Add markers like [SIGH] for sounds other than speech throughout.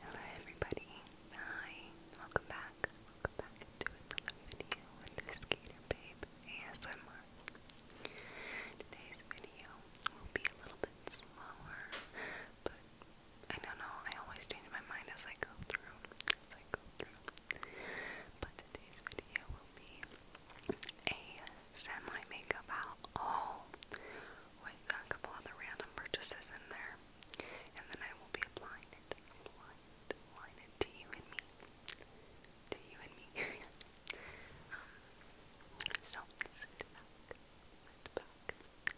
Hello everybody, hi, welcome back, welcome back to another video with the Skater Babe ASMR. Today's video will be a little bit slower, but I don't know, I always change my mind as I go through, as I go through. But today's video will be a semi-makeup haul all oh, with a couple other random purchases in there. And then I will be applying it, to you and me. To you and me. [LAUGHS] um, so sit back,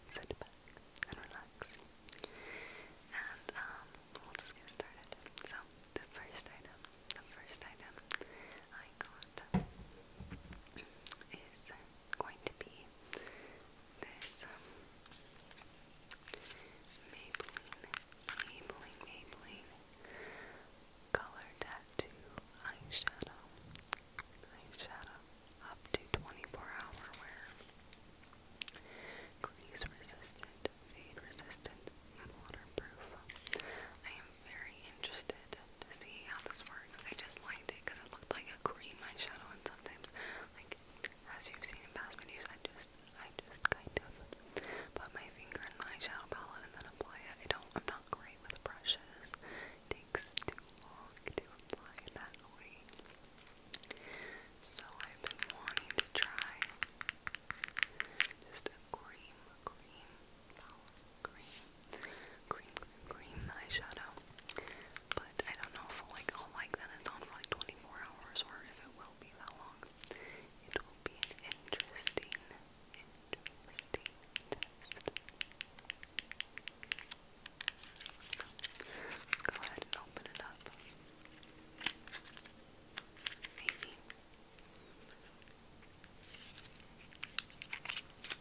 sit back, sit back, and relax. And um, we'll just get started. So the first item, the first item I got is going to be this um, Maybelline, Maybelline, Maybelline color tattoo eyeshadow, eyeshadow up to 24 hour wear, crease resistant, fade resistant, waterproof. I am very interested to see how this works. I just liked it because it looked like a cream eyeshadow, and sometimes, like as you've seen in past videos, I just, I just kind of put my finger in the eyeshadow palette and then apply it. I don't, I'm not great with brushes. It takes too long to apply it that way. So I've been wanting to try just a cream, cream, palette, cream cream, cream, cream eyeshadow. But I don't know if like, I'll like that it's on for like 24 hours or if it will be that long. It will be an interesting, interesting test. So, let's go ahead and open it up. Maybe.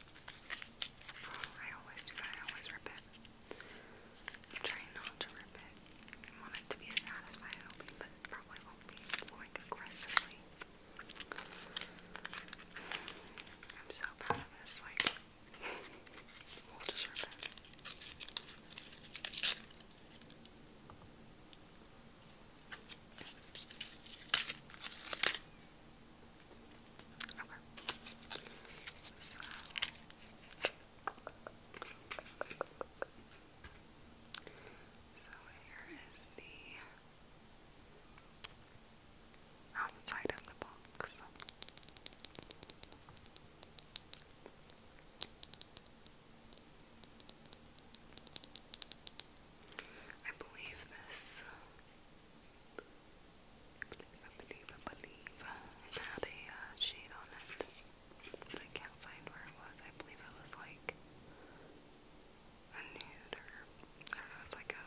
I always do that, I always rip it. I'm trying not to rip it. I want it to be as satisfying opening, but probably won't be like aggressively. I'm so proud of this, like [LAUGHS] Okay. So so here is the outside of the box. I believe this I believe I believe it had a uh, shade on it, but I can't find where it was. I believe it was like a nude or I don't know. It's like a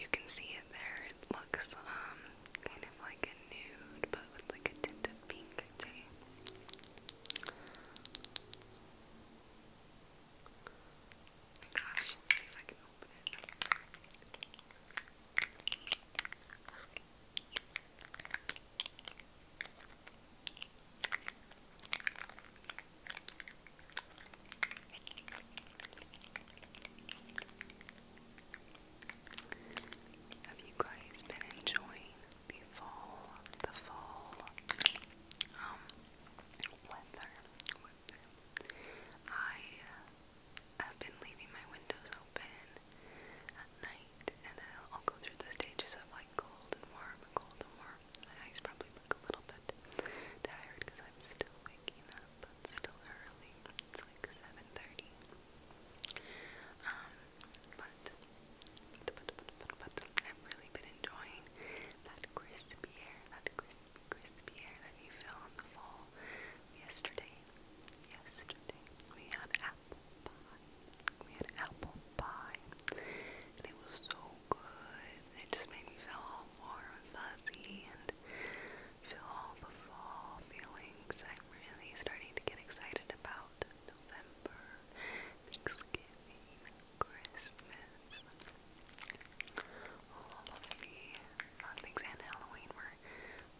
you can see it there. It looks um kind of like a nude, but with like a tint of pink. I'd say. Gosh, Have you guys been enjoying the fall, the fall um, weather? I uh, have been leaving my windows open at night, and I'll, go through the stages of like cold and warm, cold and warm. My eyes probably look a little bit tired because I'm still waking up, but still early. It's like 7:30. Um, but, I've really been enjoying that crispy that crispy crispy air that you feel in the fall. Yesterday, yesterday, we had apple pie. We had apple pie. And it was so good. It just made me feel all warm and fuzzy and feel all the fall feelings. I'm really starting to get excited about November, Thanksgiving, Christmas. All of the uh, things and Halloween. We're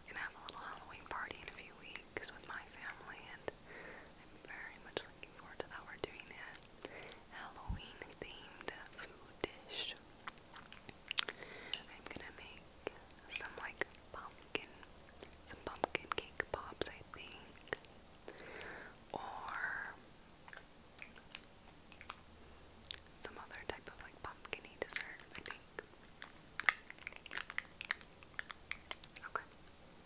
gonna have a little Halloween party in a few weeks with my family, and I'm very much looking forward to that. We're doing a Halloween themed food dish. I'm gonna make some like pumpkin, some pumpkin cake pops, I think. Or some other type of like pumpkin dessert, I think. Okay,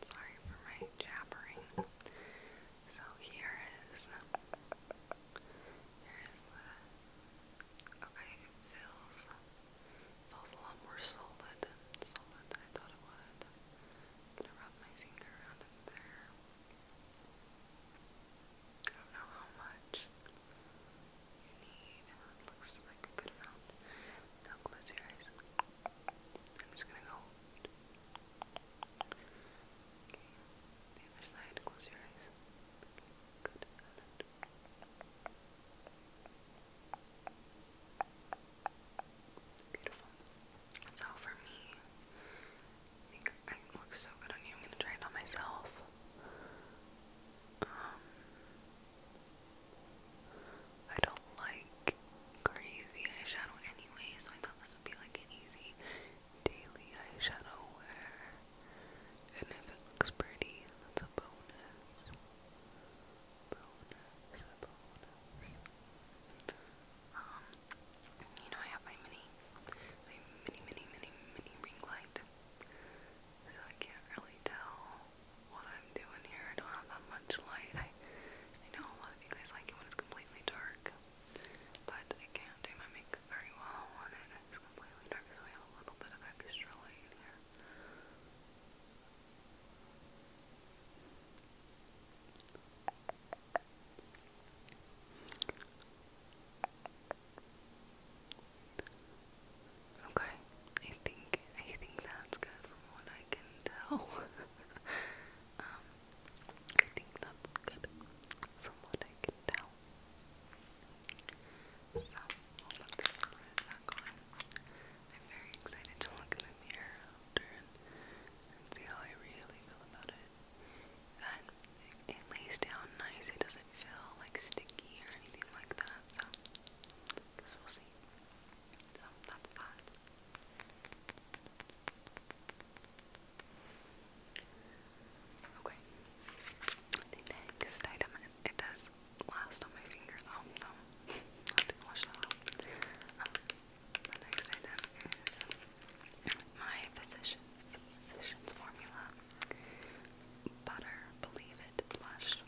sorry for my jabbering. So here is here is the okay, it feels feels a lot more solid solid than I thought it would. I'm my finger around in there. I don't know how much you need. looks like a good amount. Now close your eyes. I'm just gonna go. Okay. The other side, close your eyes. good. Beautiful. So for me, I look so good on you. I'm gonna try it on myself. Um, I don't like crazy eyeshadow anyway, so I thought this would be like an easy daily eyeshadow wear. And if it looks pretty, that's a bonus. Bonus, bonus. Um, you know I have my mini, my mini, mini, mini, mini ring light, so I can't really tell what I'm doing here. I don't have that much light. I, know a lot of you guys like it when it's completely dark, but I can't do my makeup very well when it is completely dark, so I have a little bit of extra light here. Okay, I think I think that's good from what I can tell. [LAUGHS] Um, I think that's good from what I can tell. I'm very excited to look in the mirror see how I really feel about it. And it, lays down nice, it doesn't feel like sticky or anything like that, so guess we'll see. So that's that. Okay. The next item it does last on my finger though, so [LAUGHS] I didn't wash that out. The next item is my Physicians, Physicians Formula Butter Believe It Blush.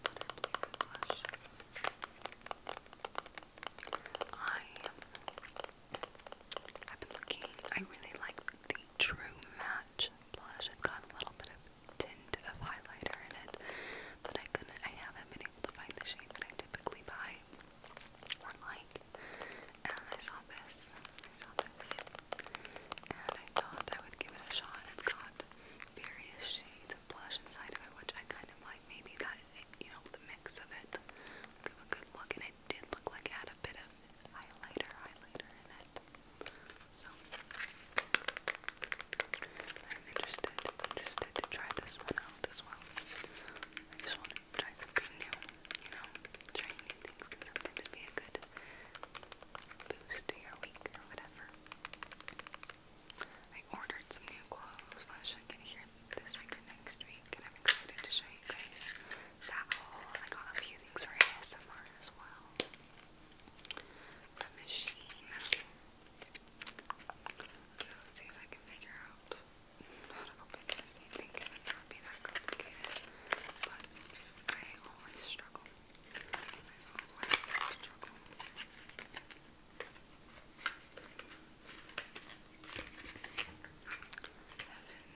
Butter Believe It Blush. I, I've been looking, I really like the True Match blush. It's got a little bit of tint of highlighter in it, but I couldn't, I haven't been able to find the shade that I typically buy or like. And I saw this. I saw this. And I thought I would give it a shot. It's got various shades of blush inside of it, which I kind of like. Maybe that, you know, the mix of it give a good look. And it did look like it had a bit of highlighter, highlighter in it. So, I'm interested, interested to try this one out as well. I just want to try something new, you know? Trying new things can sometimes be a good boost to your week or whatever. I ordered some new clothes that should get here this week next week, I'm excited to show you guys that I got a few things for ASMR as well. The machine. Let's see if I can figure out how to open this. I think it would be that complicated, but I always struggle. I always struggle.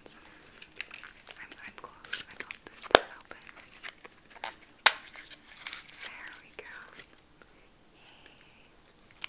Heavens. I'm, I'm close. I got this part open. There we go.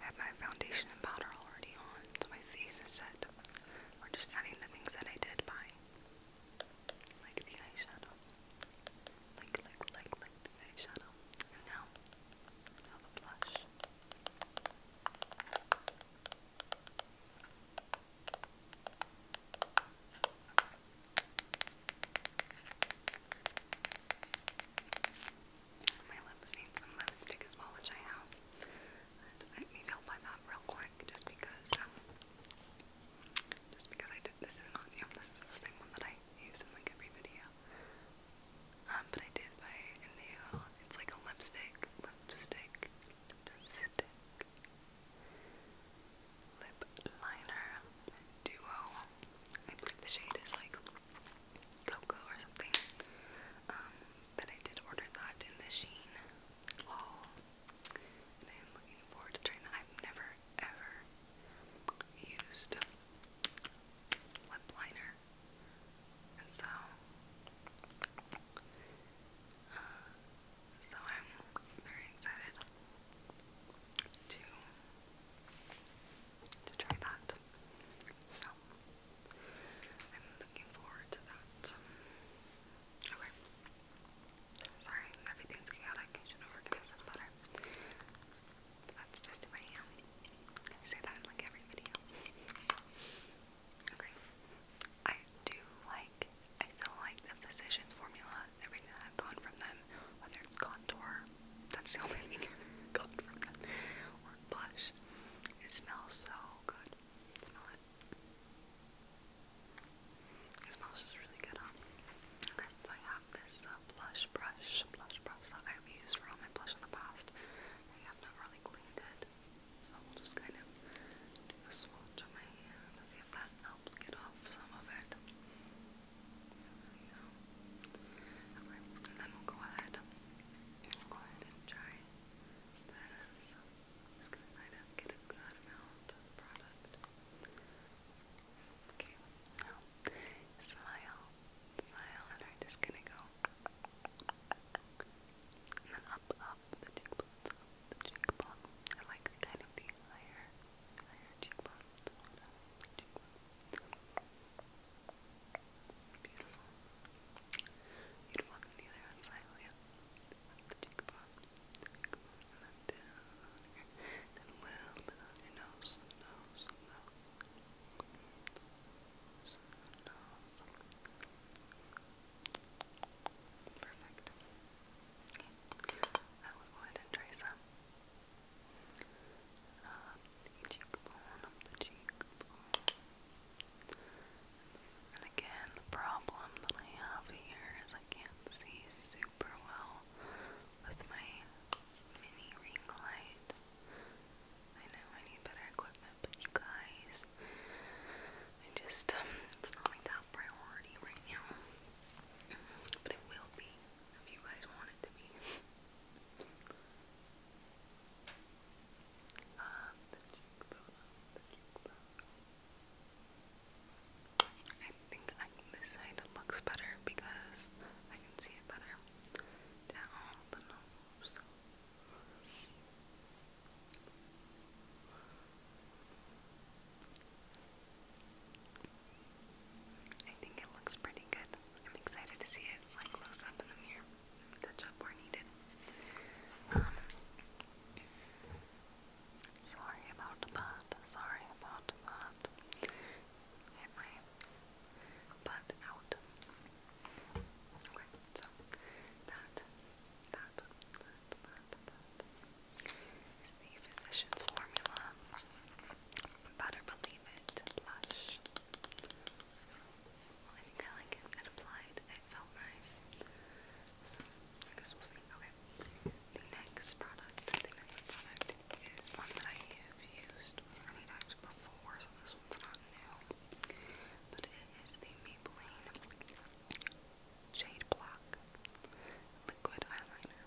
I have my foundation and powder already on, so my face is set. We're just adding the things that I did buy. Like the eyeshadow. Like, like, like, like the eyeshadow. now, now the blush. My lips need some lipstick as well, which I have. But maybe i that real quick, just because. Um, just because I did this is not new. This is the same one that I use in like every video. Um, but I did buy a new. It's like a lipstick, lipstick, lipstick. Lip liner duo. I believe the shade is like cocoa or something. Um, but I did order that in the Sheen and I am looking forward to trying that. I've never ever used lip liner, and so uh, so I'm very excited to to try that. So, I'm looking forward to that. Okay. Sorry, everything's chaotic. should organize this better. But that's just who I am. say that in like every video. Okay. I do like, I feel like the physician's formula, everything I've gotten from them, whether it's contour, that's the only [LAUGHS] blush. It smells so good. Smell it. It smells just really good, Okay, so I have this uh, blush brush, blush brush that I've used for all my blush in the past. I have not really cleaned it, so we'll just kind of swatch on my see if that helps get off some of it. Okay, then we'll go ahead Go ahead and try this. just gonna get a good amount product. Okay, now smile, smile, and I'm just gonna go and then up, up the cheekbones, the cheekbone. I like the kind of the higher, higher cheekbones. Beautiful. Beautiful. And the other one slightly up. Up the cheekbone. And then down. Then a little nose. Nose. Nose. Nose. nose. Perfect. Okay. I will go ahead and trace up um, And again, the problem that I have here is I can't see super well with my mini ring light. I know I need better equipment, but you guys, I just, um, it's not my top priority right now. But it will be if you guys want it to be. I think this side looks better because I can see it better. Down the nose. I think it looks pretty good. I'm excited to see it close up in the mirror touch up where needed. Um, sorry about that. Sorry about that. Get my butt out. Okay, so that, that, that, that is the physician's formula. Better believe it. Lush. Well, I Okay. The next product, is one that I have used many times before, so this one's not new. But it is the Maybelline Shade Block Liquid eyeliner.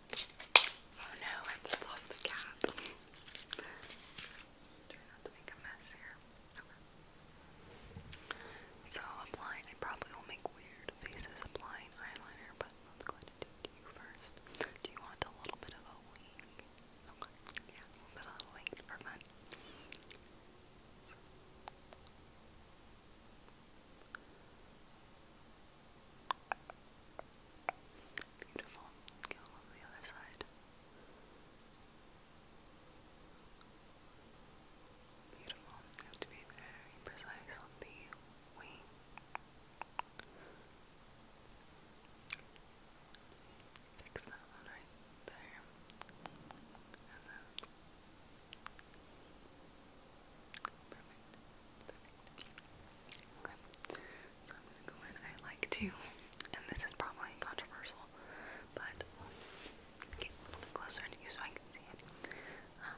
Oh no, I pulled off the cap. Try not to make a mess here. So i I probably will make weird faces applying eyeliner, but let's go ahead and do you first. Do you want a little bit of a wing? Okay, yeah, a little wing for fun. Beautiful. Go on the other side. Beautiful. You have to be very precise on the wing. Fix that one right there. And then Perfect. Okay. So I'm gonna go in. I like to, and this is probably controversial, but get a little closer to you so I can see it. Um,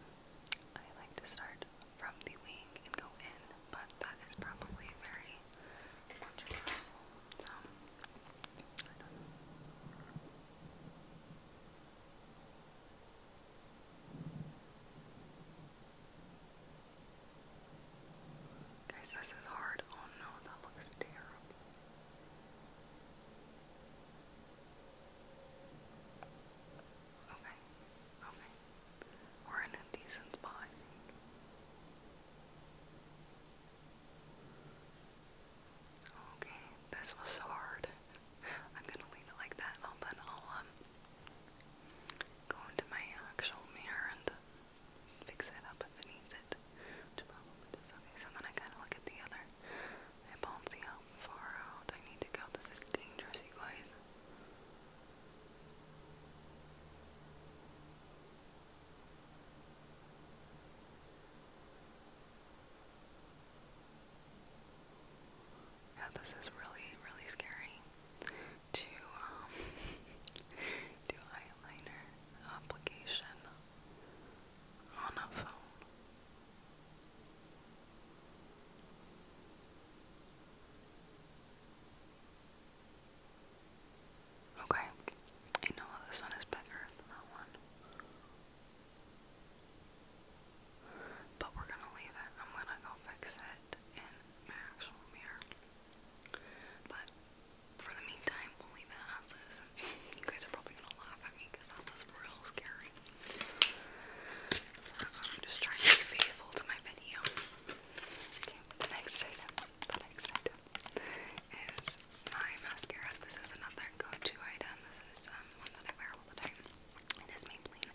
I like to start from the wing and go in, but that is probably very controversial. So Guys, this is hard. Oh no, that looks terrible. Okay, okay. We're in a decent spot, Okay, this was so hard. [LAUGHS] I'm gonna leave it like that, and then I'll um, go into my actual mirror and fix it up if it needs it, Okay, so then I kind of look at the other eyeballs, see how far out I need to go. This is dangerous, you guys. Yeah, this is really, really scary to um, [LAUGHS] do eyeliner application on a phone. Okay, I know this one is bigger than that one. But we're gonna leave it. I'm gonna go fix it in my actual mirror. But for the meantime, we'll leave it as is. [LAUGHS] You guys are probably gonna laugh at me that was real scary. I'm just trying to be faithful to my video. the next item, the next item is my mascara. This is another go-to item. This is um, one that I wear all the time. It is Maybelline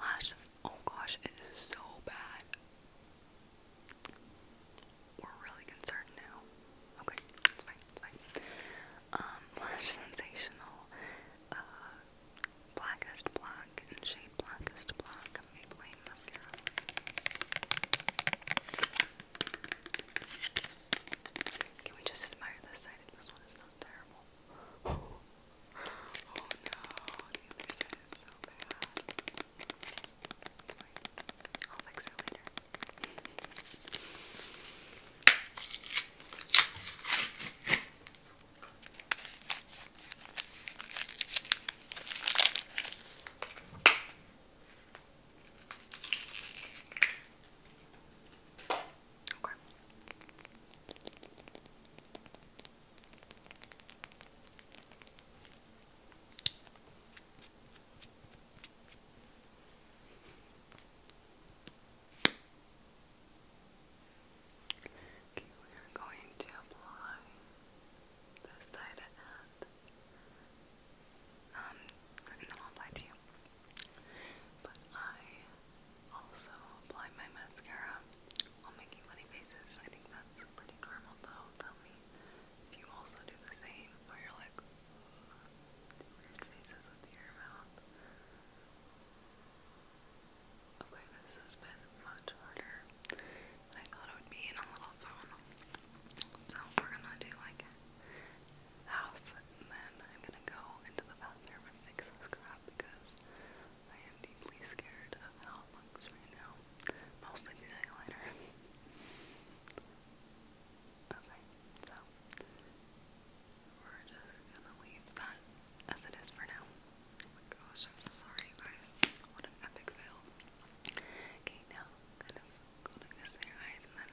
lash. Oh gosh, it is so bad. We're really concerned now. Okay, it's fine, it's fine. Um, [LAUGHS] Lash Sensational, uh, Blackest Black, and shade Blackest Black, Maybelline Mascara. Can we just admire this side? This one is not terrible. [GASPS] Oh no, the other side is so bad. It's fine. I'll fix it later. Okay. Okay, we are going to apply this side um, and then I'll apply to you. But I also apply my mascara while making funny faces. I think that's pretty normal though. Tell me if you also do the same or you're like weird faces with your mouth. Okay, this has been much harder I thought it would be in a little phone. So we're gonna do like half and then I'm gonna go into the bathroom and fix this crap because I am deeply scared of how it looks right now. Mostly the eyeliner. okay, so we're just gonna leave that as it is for now. Oh my gosh, sorry, guys. What an epic fail. Okay, now kind of holding this in eyes and then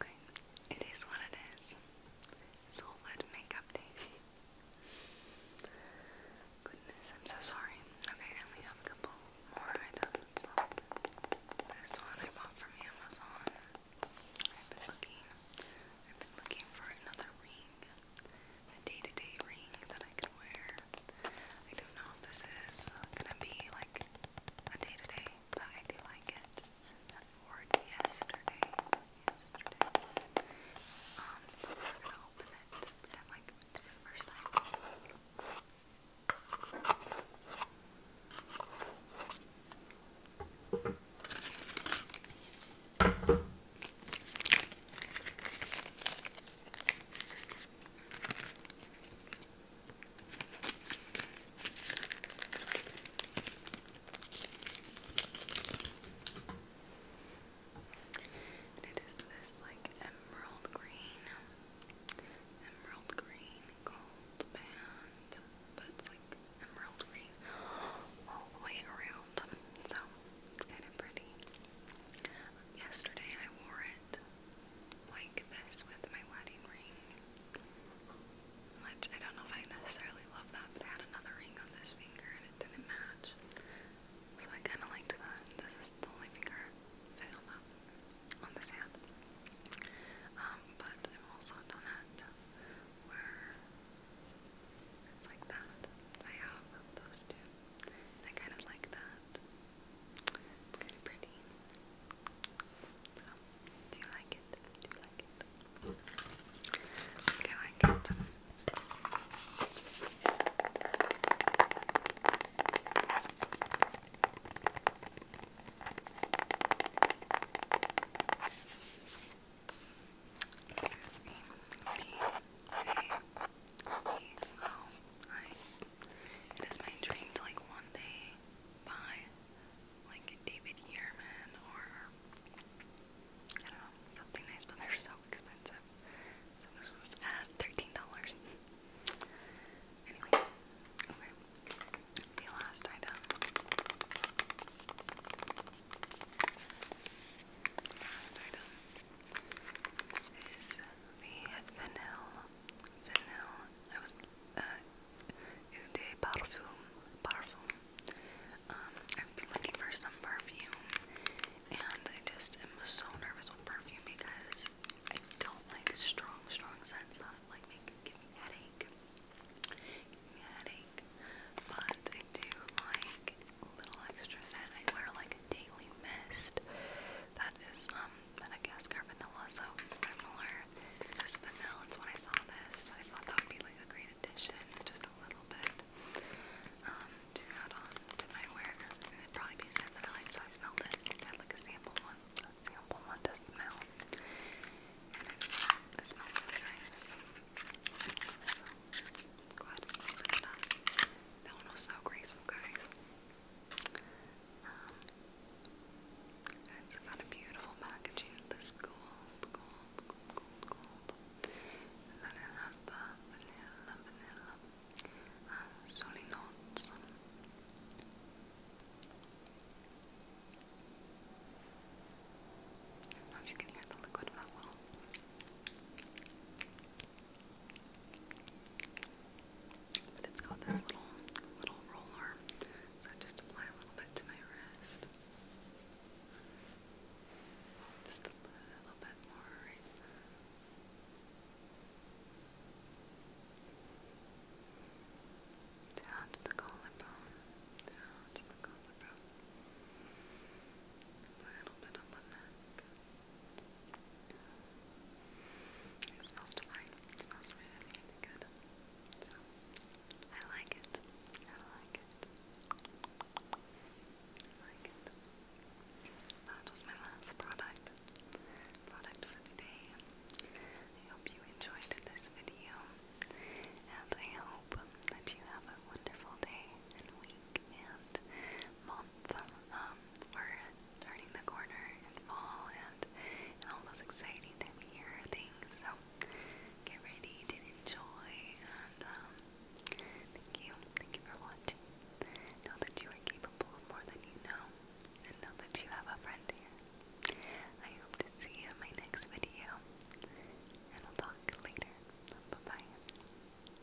Okay, it is what it is. Solid makeup day. Goodness, I'm so sorry. Okay, I only have a couple more items. This one I bought from Amazon. I've been looking. I've been looking for another ring. A day to -day ring that I can wear. I don't know if this is gonna be like a day to day, but I do like it. I yesterday. Yesterday. Um, but we gonna open it. Pretend like the first time it is this like emerald green, emerald green gold band, but it's like emerald green all the way around. So it's kind of pretty. Yesterday I wore it it like this with my wedding ring. Which I don't know if I necessarily love that, but I had another ring on this finger and it didn't match. So I kind of liked that. This is the only finger I on this hand. Um, but I've also done it where it's like that. I have those two. I kind of like that. It's pretty. do you like it? Do you like it? Okay, I like it. It is my dream to like one day buy like David Yearman or I don't know, something nice, but they're so expensive. So this was $13. okay. The last item. Last item is the vanilla, vanilla, uh, um, I was, looking for some perfume, and I just am so nervous with perfume because I don't like strong, strong scents don't like, make, me headache, give me headache, but I do like a little extra scent, I wear, like, a daily mist, that is um, Madagascar vanilla, so it's similar as vanilla. It's when I saw this, I thought that would be like a great addition, just a little bit. Um, to add on to my wear. It'd probably be a I like, so I smelled it. I had like a sample one, sample one to smell. it, smells really nice. So, let's that one was so graceful, guys. Um, it's got a beautiful packaging. This gold, gold, gold, gold, gold. And then it has the vanilla, vanilla, uh, um, soli notes. I don't know if you can hear the liquid that well. But it's got this little little roller. So I just apply a little bit to my wrist. Just a little bit more right down to the collarbone, down to the collarbone, a little bit on the neck, it smells divine. It smells really, good. So, I like it. I like it. I like it. That was my last product. Product for the day. I hope you enjoyed this video. And I hope that you have a wonderful day week and month. Um, we're turning the corner in fall and, and all exciting time of things. get ready to enjoy and um, thank you. Thank you for watching. Know that you are capable of more than you know and know that you have a friend here. I hope to see you in my next video and I'll talk later. Bye-bye.